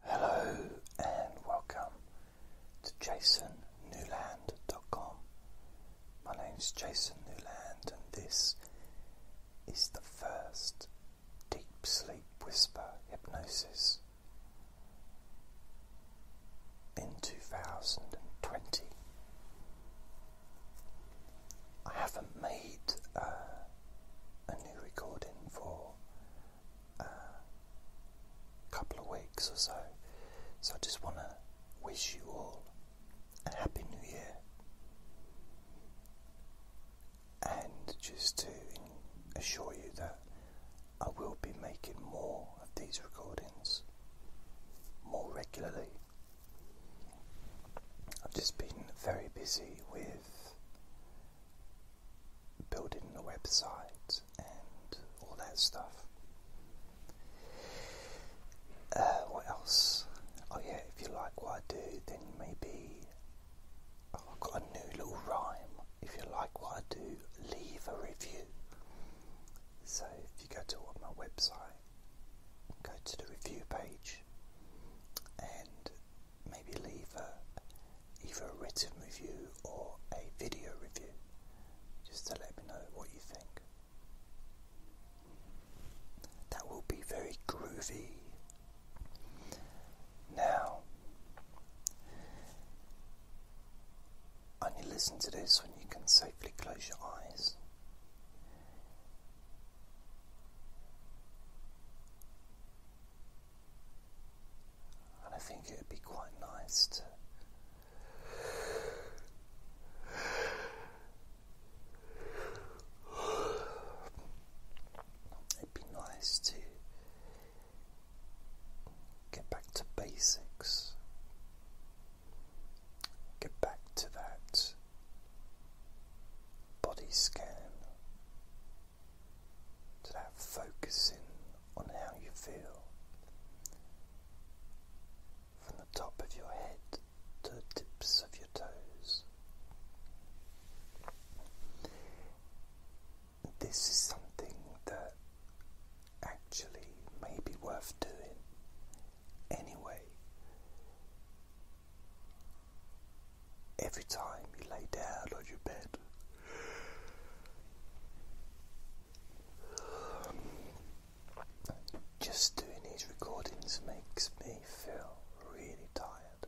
Hello and welcome to jasonnewland.com. My name is Jason Newland, and this is the first deep sleep whisper hypnosis in 2020. I haven't made uh, a new recording for uh, couple of weeks or so. So I just want to wish you all a happy new year and just to assure you that I will be making more of these recordings more regularly. I've just been very busy with building a website and all that stuff. Uh, what else? Oh, yeah, if you like what I do, then maybe oh, I've got a new little rhyme. If you like what I do, leave a review. So, if you go to my website, go to the review page and maybe leave a either a written review or a video review just to let me know what you think. That will be very groovy. Now, only listen to this when you can safely close your eyes. And I think it would be quite nice to. It'd be nice to get back to basics, get back to that body scan to that focusing on how you feel from the top of your head to the tips of your toes. This is something that actually may be worth doing anyway every time you lay down on your bed. Just doing these recordings makes me feel really tired,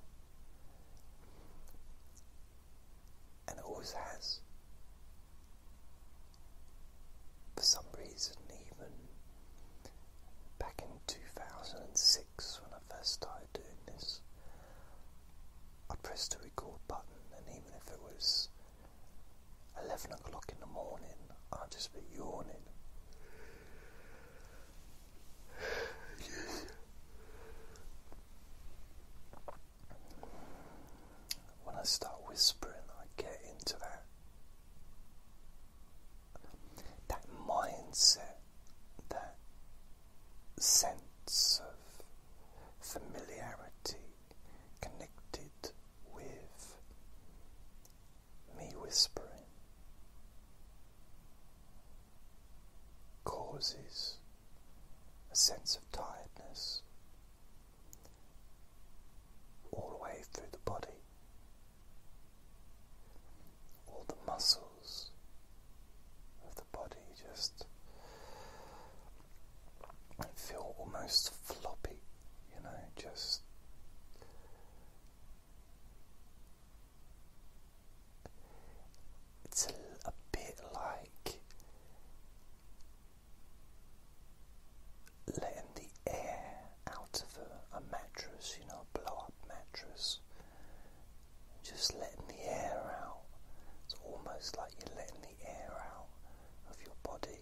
and it always has. For some reason, even back in 2006 when I first started doing this, I press the record button, and even if it was 11 o'clock in the morning, I'd just be yawning. When I start whispering, I get into that that mindset, that sense of familiarity connected with me whispering causes a sense of tiredness all the way through the body all the muscles of the body just feel almost floppy, you know, just it's a, a bit like letting the air out of a, a mattress, you know, a blow up mattress just letting the air out. It's almost like you're letting the air out of your body,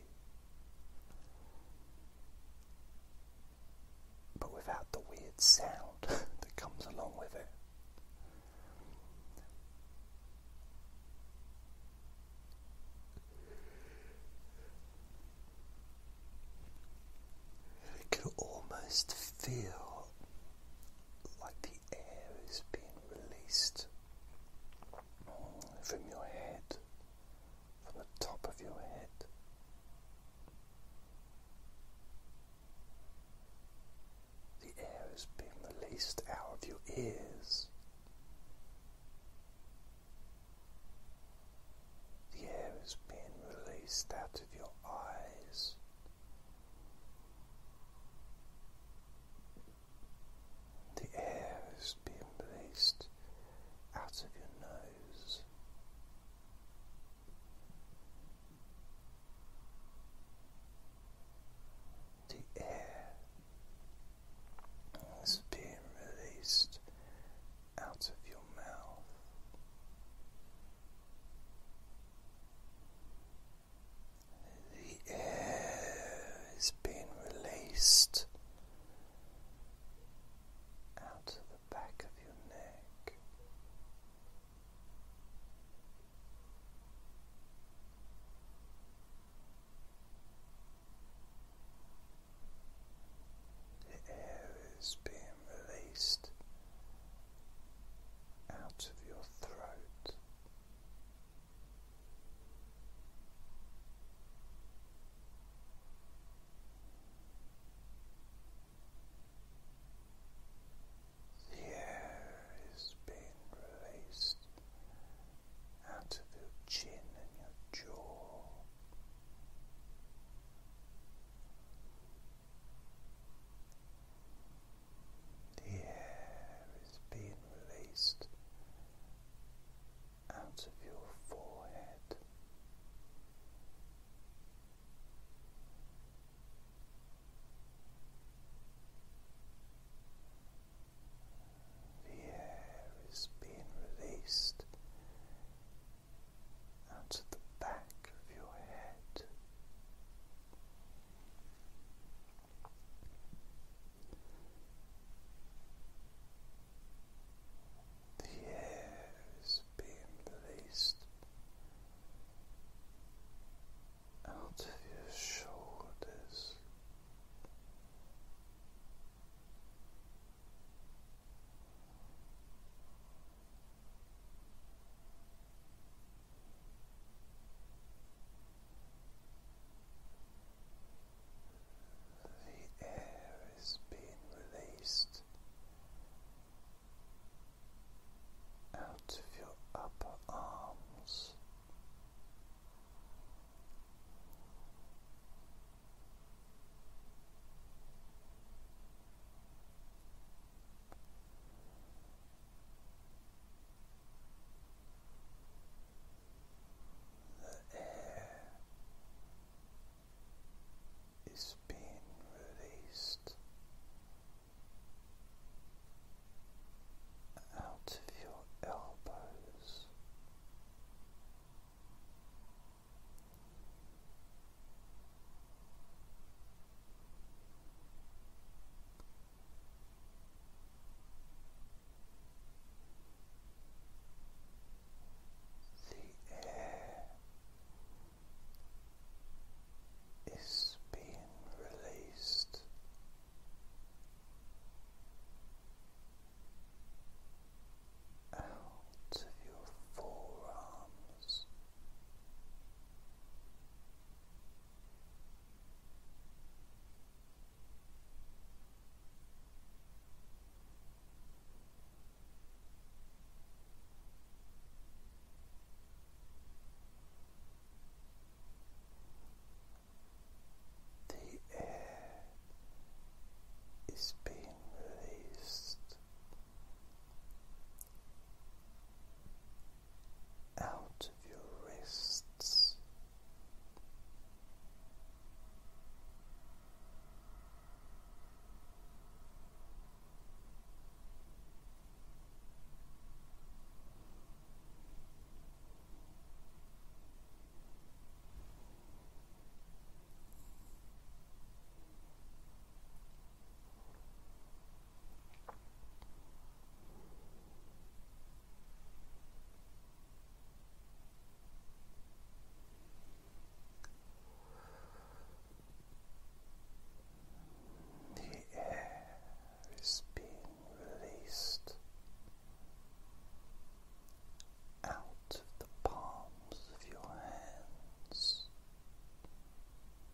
but without the weird sound that comes along with it. You can almost feel like the air is being released from your head, from the top of your head. The air is being released out of your ears. The air is being released out of your eyes, the air is being released out of your nose. The air is being released out of your mouth. The air is being released out of the back of your neck. The air is being released out of your throat. The air is being released out of your chin and your jaw, the air is being released out of your forehead. The air is being released out of the back of your head. The air is being released out of your shoulders. The air is being released out of your upper arms. The air is being released out of your elbows. The air is being released. Out of your forearm animals. The air is being released out of your wrists. The air is being released out of the palms of your hands.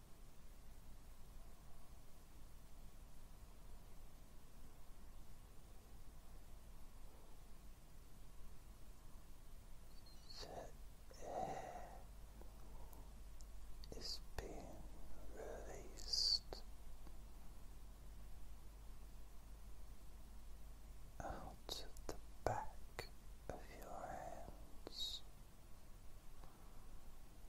The air is being released out the back of your hands.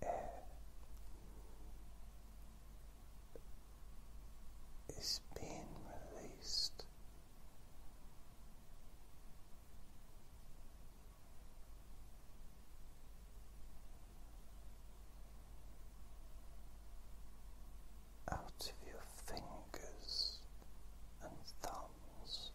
The air is being released out of your fingers and thumbs.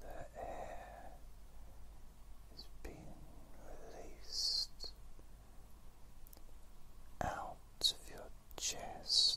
The air is being released out of your chest.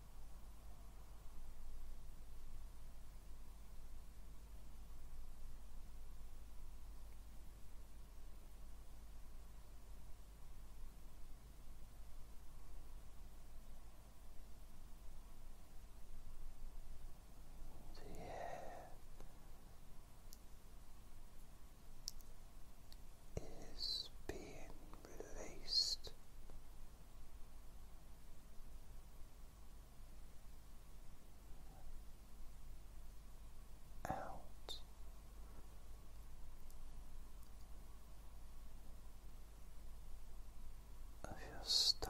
The air is being released out. Of your stomach,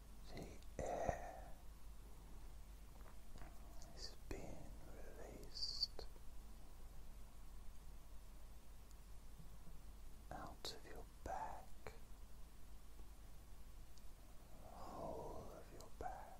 the air is being released out of your back, whole of your back.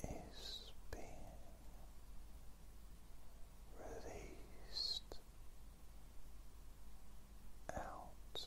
The air is being released out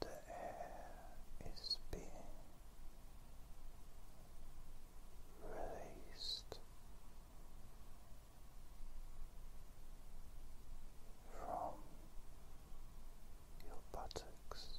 The air is being released from your buttocks.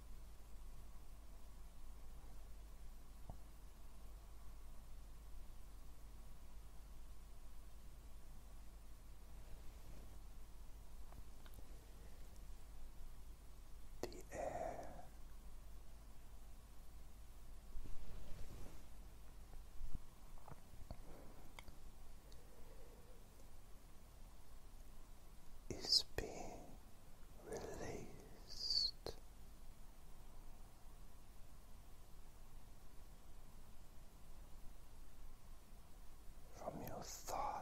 The air is being released. From your thighs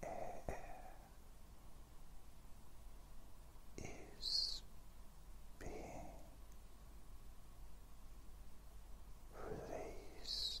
The air is being released from your knees.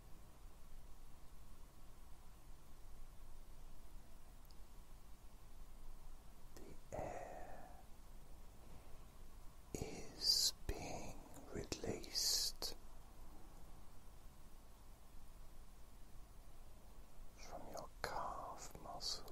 The air is being released from your calf muscles.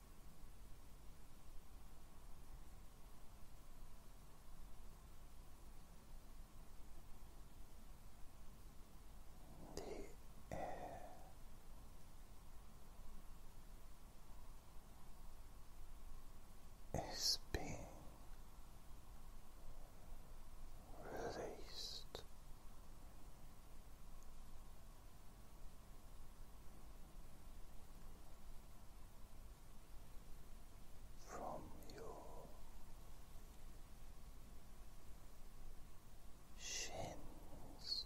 the air is being released from your shins.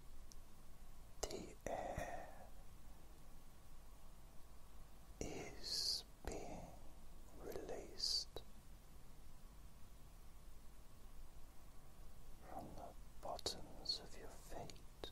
the air is being released from the bottoms of your feet.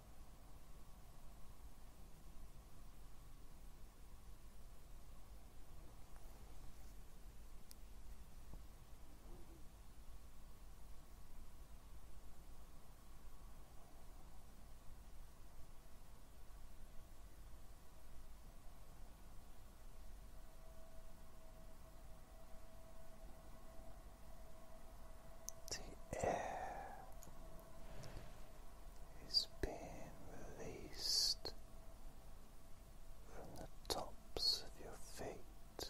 the air is being released from the tops of your feet.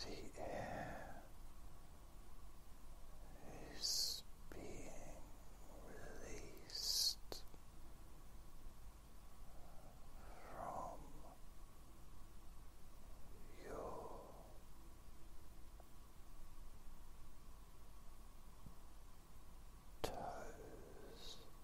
The air is being released from your toes.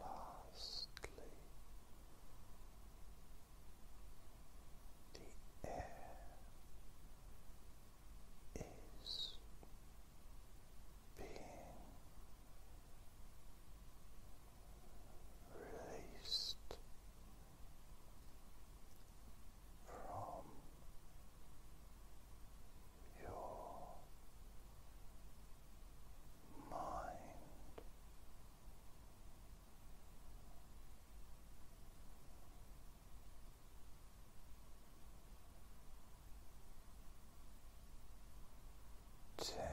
lastly, the air is being released from your mind. Ten.